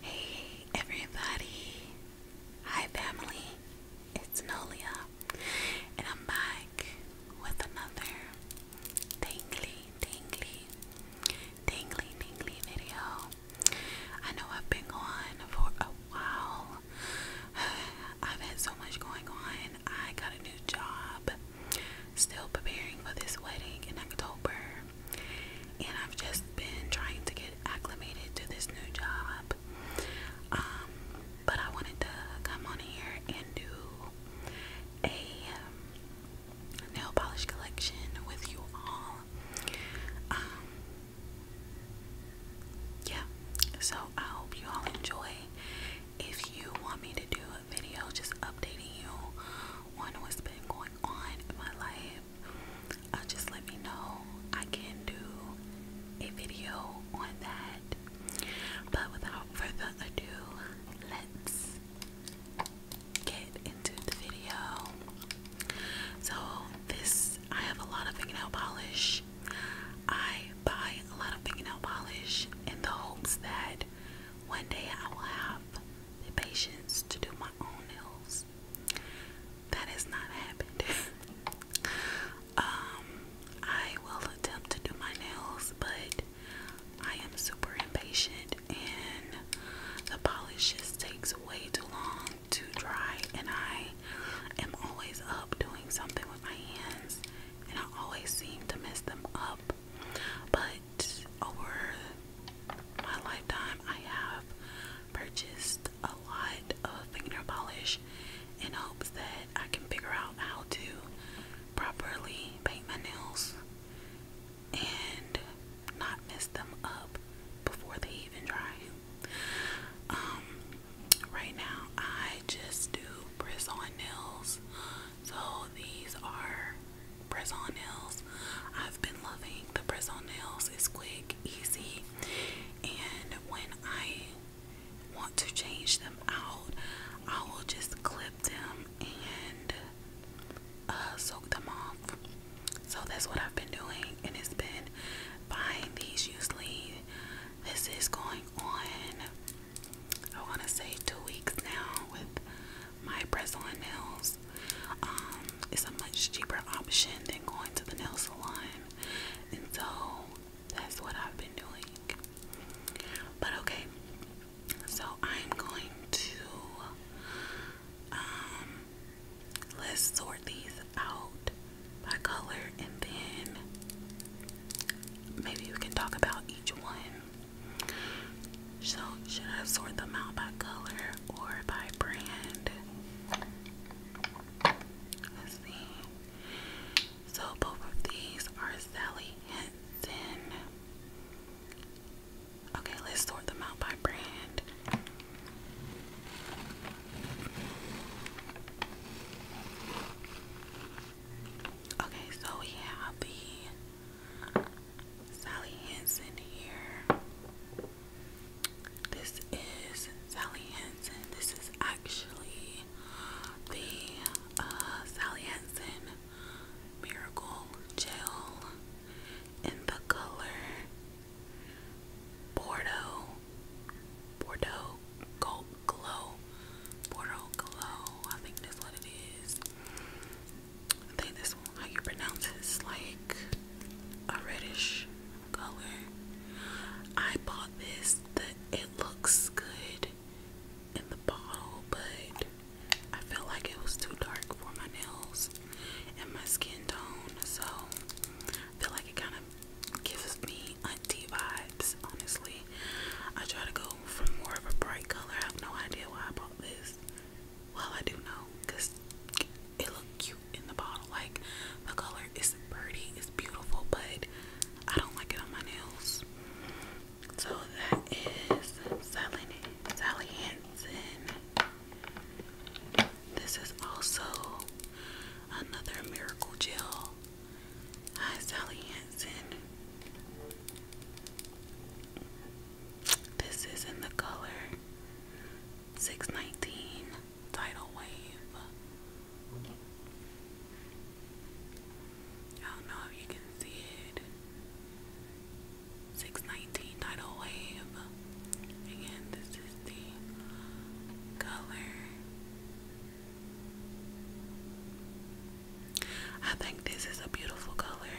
Hey everybody! Hi family! It's Nolia and I'm back with another tingly, tingly, tingly, tingly video. I know I've been gone for a while. I've had so much going on. I got a new job. Still preparing for this wedding in October and I've just been trying to get acclimated to this new job. Um, but I wanted to come on here and do a um, nail polish collection with you all. Um, yeah, so I hope you all enjoy. If you want me to do a video just updating you on what's been going on in my life, uh, just let me know. I can do a video on that. But without further ado, let's get into the video. So, this I have a lot of fingernail polish. I buy a lot of fingernail polish in the hopes that one day I will have the patience to do my my nails. That has not happened. um, I will attempt to do my nails, but I am super impatient and the polish just takes way too long to dry and I am always up doing something with my hands and I always seem to mess them up but over my lifetime, I have purchased a lot of fingernail polish in hopes that I can figure out how to properly paint my nails and not mess them up before they even dry. Um, right now, I just do bristle nails so these are press on nails. I've been loving the press on nails. It's quick, easy, and when I want to change them out, I will just clip them and uh, soak them off. So that's what I've been doing, and it's been buying these usually. This is going on, I want to say, two weeks now with my Brazilian nails. Um, it's a much cheaper option than going to the nail salon, and so that's what I've been doing. But okay, so I'm going to um, let's sort these out by color, and then maybe we can talk about each one. So, should I sort them out by color or by brand? Let's see. So, both of these are Sally Henson. Okay, let's sort them out by brand. Okay, so we have the Sally Hansen here. This is Sally Hansen. This is actually the uh, Sally Hansen Miracle Gel in the color Bordeaux. Bordeaux Gold Glow. Bordeaux Glow. I think that's what it is. I think that's how you pronounce It's like a reddish color. I bought this. that it looks good in the bottle, but I felt like it was too dark for my nails and my skin tone. So I feel like it kind of gives me auntie vibes, honestly. I try to go for more of a bright color. I have no idea why I bought this. Well, I do know because it looked cute in the bottle. Like the color is pretty, it's beautiful, but I don't like it on my nails. So that is Sally, Sally Hansen. This is also another Miracle Gel. Hi, Sally Hansen. This is in the color 619 Tidal Wave. I don't know if you can see it. 619 Tidal Wave. Again, this is the color I think this is a beautiful color.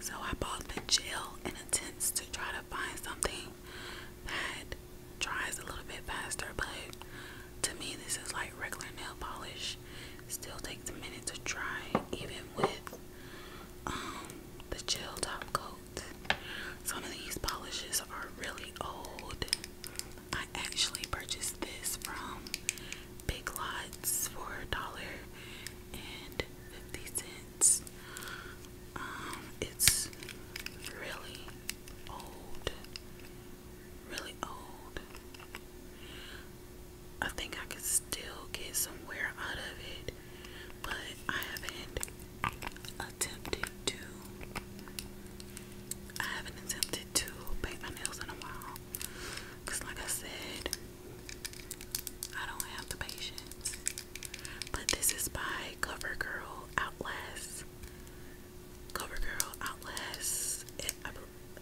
So I bought the gel in attempts to try to find something that dries a little bit faster, but to me this is like regular nail polish. Still takes a to dry even with um, the gel top coat. Some of these polishes are really old. I actually purchased this from Big Lots for a dollar and fifty cents. Um, it's really old, really old. I think I could still get some wear out of it, but I haven't attempted to. I haven't attempted to paint my nails in a while. Because, like I said, I don't have the patience. But this is by CoverGirl Outlast. CoverGirl Outlast. I,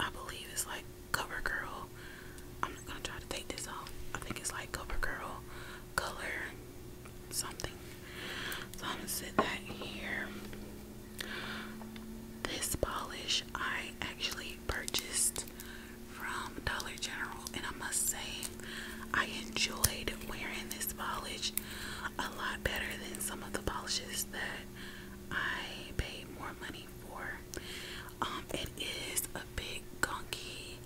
I believe it's like CoverGirl. I'm not going to try to take this off. I think it's like CoverGirl Color something. So I'm going to sit that here. This polish I actually purchased from Dollar General, and I must say, I enjoyed wearing this polish a lot better than some of the polishes that I paid more money for. Um, it is a bit gunky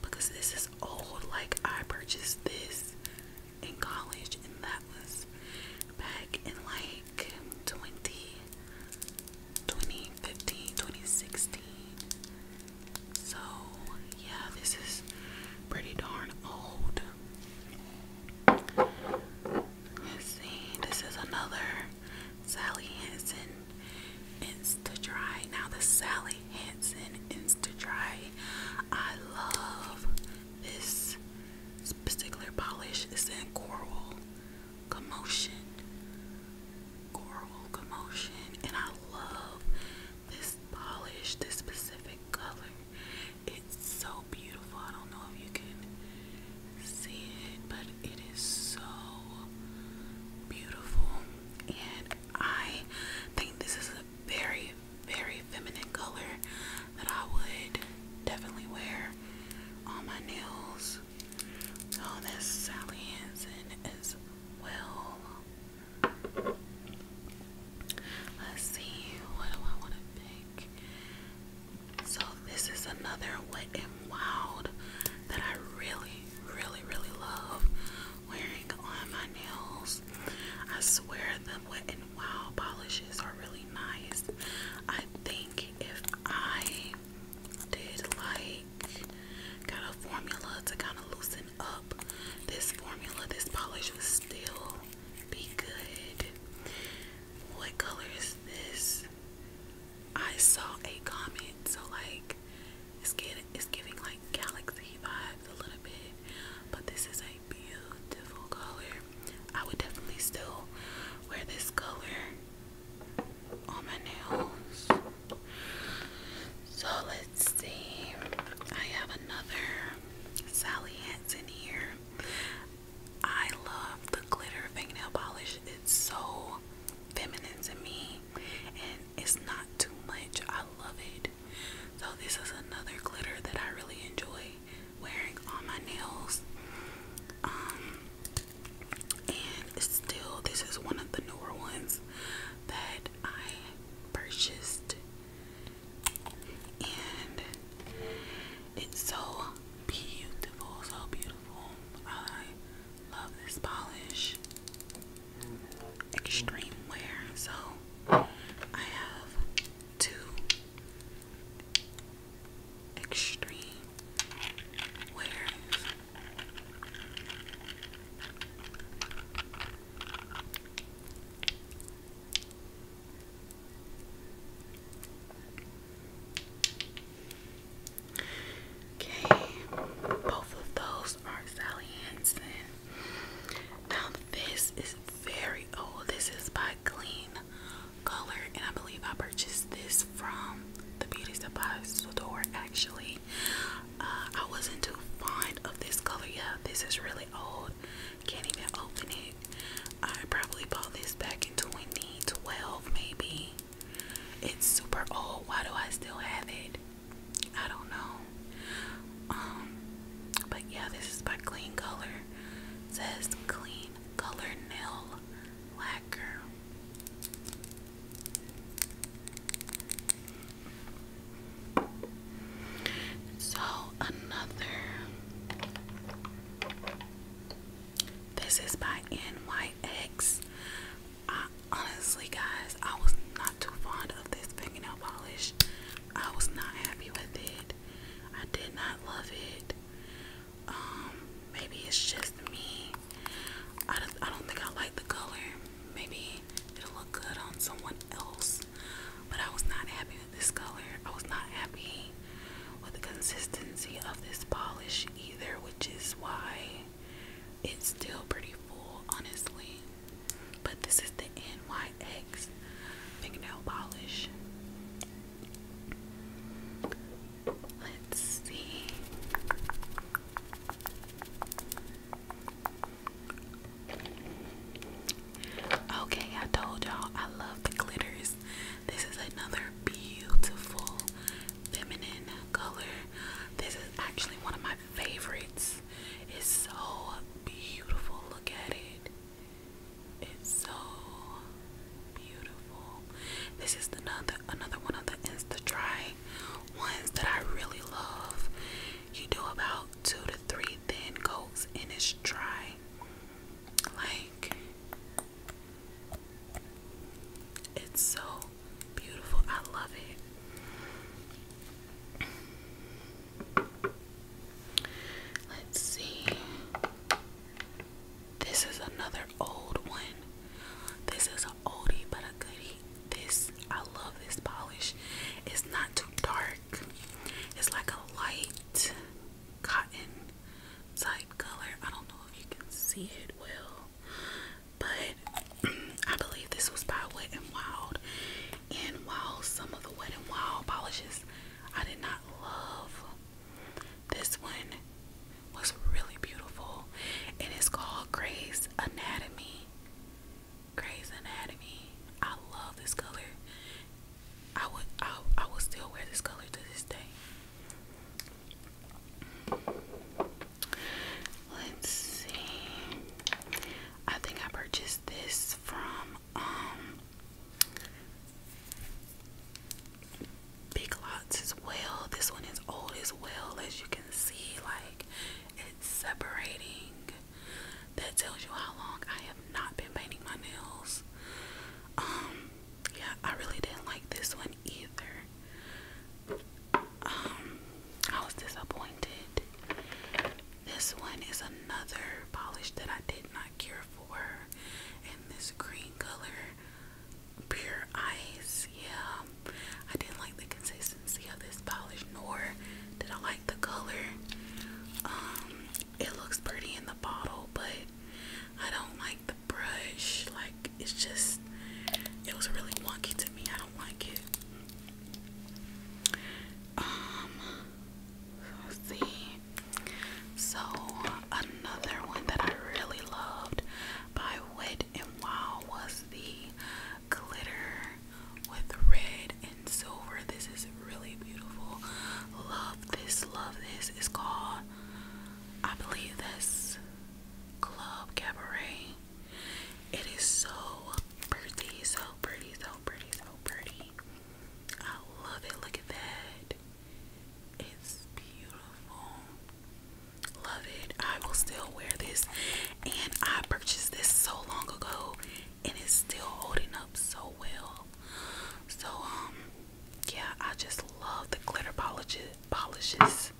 because this is old, like, I purchased this in college, and that was back in like 20, 2015, 2016. So, yeah, this is pretty darn old. let this is another Sally Hansen Insta Dry. Now, the Sally Hansen Insta Dry, I love this particular polish is in Coral Commotion. Coral Commotion. And I love this polish, this specific color. It's so beautiful. I don't know if you can see it, but it is so beautiful. And I think this is a very, very feminine color that I would definitely wear on my nails. Oh, that's Sally Hansen as well. Let's see, what do I want to pick? So, this is another Wet and Wild that I really, really, really love wearing on my nails. I swear the wet and wild polishes are really nice. I think if I did like got a formula to kind of loosen up this formula, this polish would still be good. What color is this? I saw a comment, so like it's giving like galaxy vibes a little bit but this is a beautiful color. I would definitely still wear this color on my nails. So let's see. I have another Sally Hansen here. I love the glitter fingernail polish. It's so feminine to me it's not too much. I love it. So this is another glitter that I really enjoy wearing on my nails. Um and still this is one of the newer ones that I purchased and it's so beautiful, so beautiful. I love this polish extreme wear. So I have two extreme wears. Okay, both of those are Sally Hansen. Now this is very old. This is by Clean Color, and I believe I purchased this from the beauty supply store. Actually, uh, I wasn't too fond of this color. Yeah, this is really old. Can't even open it. I probably bought this back in 2012, maybe. It's super old. Why do I still have it? I don't know. Um, but yeah, this is by Clean Color. It says Clean Color Nail Lacquer. So another. This is by NYX honestly, guys, I was not too fond of this fingernail polish. I was not happy with it. I did not love it. Um, maybe it's just me. I I don't think I like the color. Maybe it'll look good on someone else. But I was not happy with this color. I was not happy with the consistency of this polish either, which is why it's still pretty full, honestly. But this is the NYX fingernail polish. Let's see. Okay, I told y'all I love the glitters. This is another beautiful feminine color. This is actually one of my favorites. is so beautiful. Look at it. It's so beautiful. This is another another one of the Insta Dry ones that I really love. You do about two to three thin coats and it's dry. Like it's so beautiful. I love it. Let's see. This is another old one. This is an oldie but a goodie. This I love this polish. It's not too dark. It's like a light cotton type color. I don't know if you can see it well but I believe this was by Wet and Wild. And while some of the Wet n Wild polishes I did not love, this one was really beautiful. And it's called Grey's Anatomy. Grey's Anatomy. I love this color. I would I, I would still wear this color to this day. Let's see. I think I purchased this from um Big Lots as well. This one is old as well, as you can see, like it's separating. That tells you how long I have not been painting my nails. Um, yeah, I really didn't like this one either. Um, I was disappointed. This one is another polish that I did not care for, In this green color, pure ice. Yeah, I didn't like the consistency of this polish, nor did I like the color. Um, it looks pretty in the bottle, but I don't like the brush like it's just it was really wonky to me I don't like it um see so another one that I really loved by Wet and Wow was the glitter with red and silver this is really beautiful love this love this is called I believe this. Club Cabaret. It is so pretty, so pretty, so pretty, so pretty. I love it. Look at that. It's beautiful. Love it. I will still wear this. And I purchased this so long ago and it's still holding up so well. So um yeah, I just love the glitter polishes. polishes.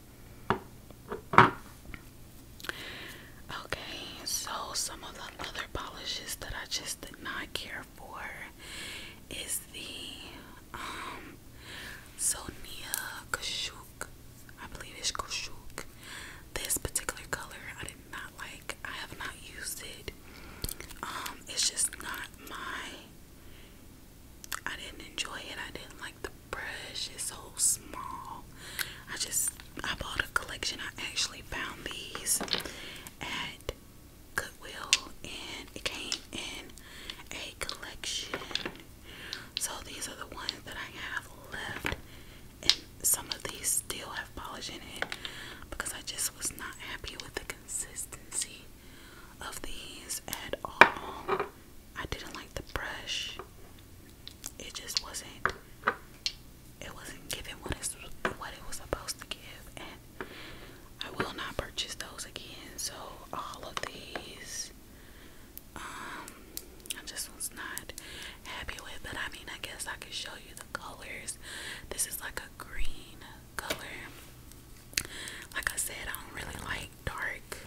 Okay, so some of the other polishes that I just did not care for is the um Sonia Kashuk. I believe it's Kashuk. This particular color I did not like. I have not used it. Um, it's just not my I didn't enjoy it. I didn't like the brush. It's so small. I just I bought a collection. I actually found these at Goodwill and it came in a collection. So these are the ones that I have left and some of these still have polish in it because I just was not happy with the consistency of these at all. I didn't like the brush. It just wasn't it wasn't giving what what it was supposed to give and I will not purchase those again. So all of these um I just was not happy with but I mean I guess I could show you the colors. This is like a green color. Like I said, I don't really like dark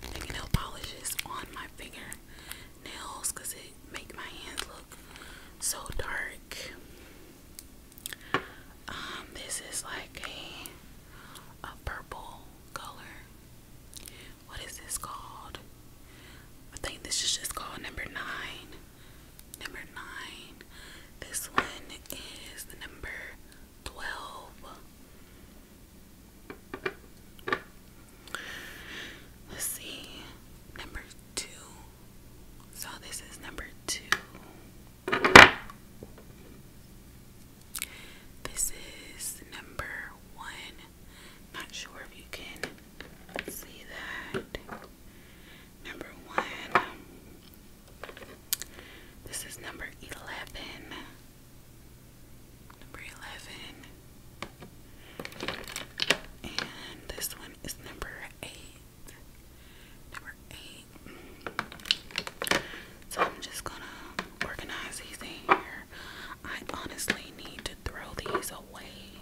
fingernail polishes on my fingernails because it make my hands look so dark. Um, this is like a a purple color. What is this called? I think this is just called number nine. Number nine. This one is the number 12. Let's see. Number two. So this is number two. This is number one. Not sure if you can see that. Number one. This is number 11. Number 11. And this one is number 8. Number 8. So I'm just gonna organize these in here. I honestly need to throw these away.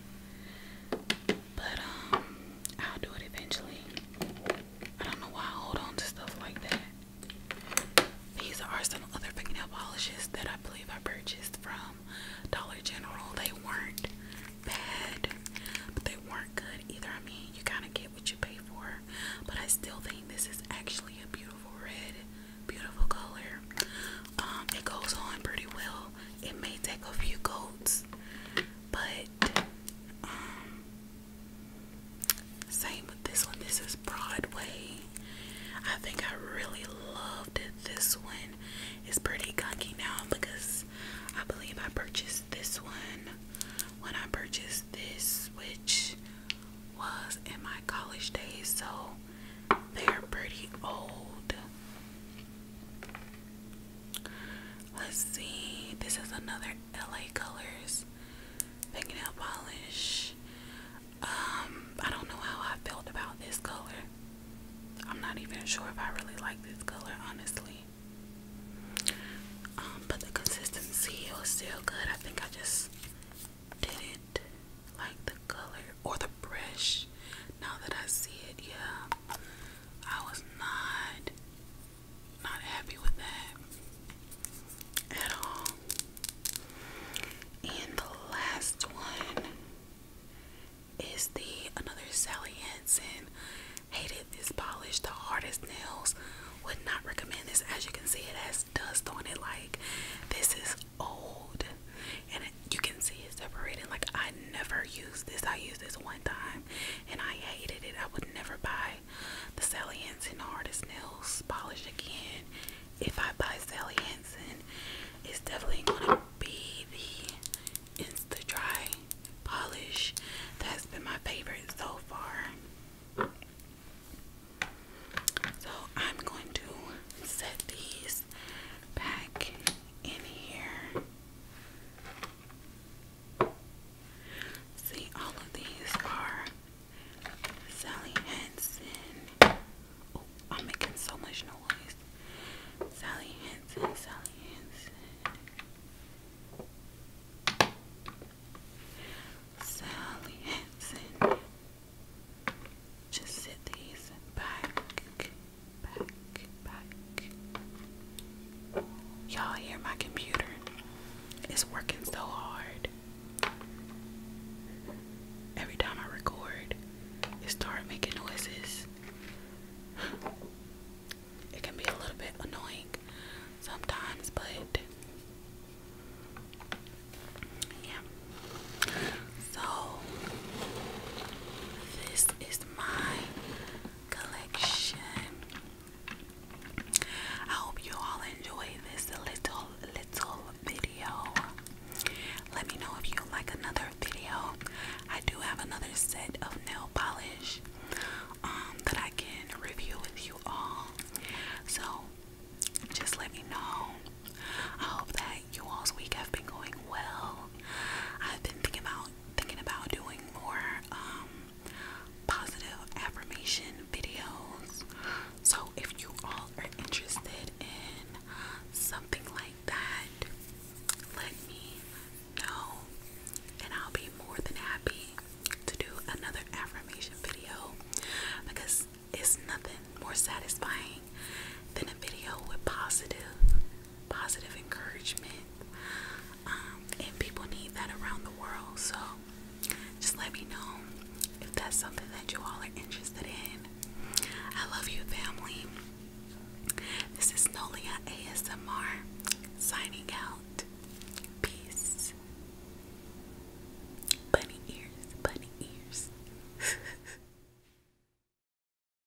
But um I'll do it eventually. I don't know why I hold on to stuff like that. These are some other fingernail polishes that I believe I purchased from Dollar General. They weren't bad, but they weren't good either. I mean, you kind of get what you pay for, but I still think this is actually a beautiful red, beautiful color. Um, it goes on pretty well. It may take a few coats, but um, same with this one. This is Broadway. I think I really loved it. This one is pretty gunky now because I believe I purchased this one when I purchased this, which was in my college days. So they're pretty old. Let's see. This is another LA Colors fingernail polish. Um, I don't know how I felt about this color. I'm not even sure if I really like this color, honestly. Um, but the consistency was still good. I think I just didn't like the color or the brush. Now that I see it, yeah, I was not not happy with that at all. And the last one is the another Sally Hansen. Hated this polish, the hardest nails. Would not recommend this. As you can see, it has dust on it. Like this is old, and you can see it separated. Like I never used this. I used this one time, and I hated it. I would never buy the Sally Hansen Hardest Nails Polish again. If I buy Sally Hansen, it's definitely gonna be the Insta Dry Polish. That's been my favorite so far. So I'm going to set these back in here. See, all of these are Sally Hansen. Oh, I'm making so much noise. Sally Hansen, Sally Hansen. Sally Hansen. Just sit these back. Y'all hear my computer? It's working so hard. Every time I record, it starts making noises. It can be a little bit annoying sometimes, but yeah. So, this is my collection. I hope you all enjoyed this little little video. Let me know if you like another video. I do have another set of nail polish um, that I can review with you all. So just let me know. I hope that you all's week have been going well. I've been thinking about thinking about doing more um, positive affirmation videos. So if you all are interested in something like that, let me know and I'll be more than happy to do another affirmation video because it's nothing more satisfying than a video with positive positive encouragement. Um, and people need that around the world. So just let me know if that's something that you all are interested in. I love you, family. This is Nolia ASMR signing out. Peace. Bunny ears, bunny ears.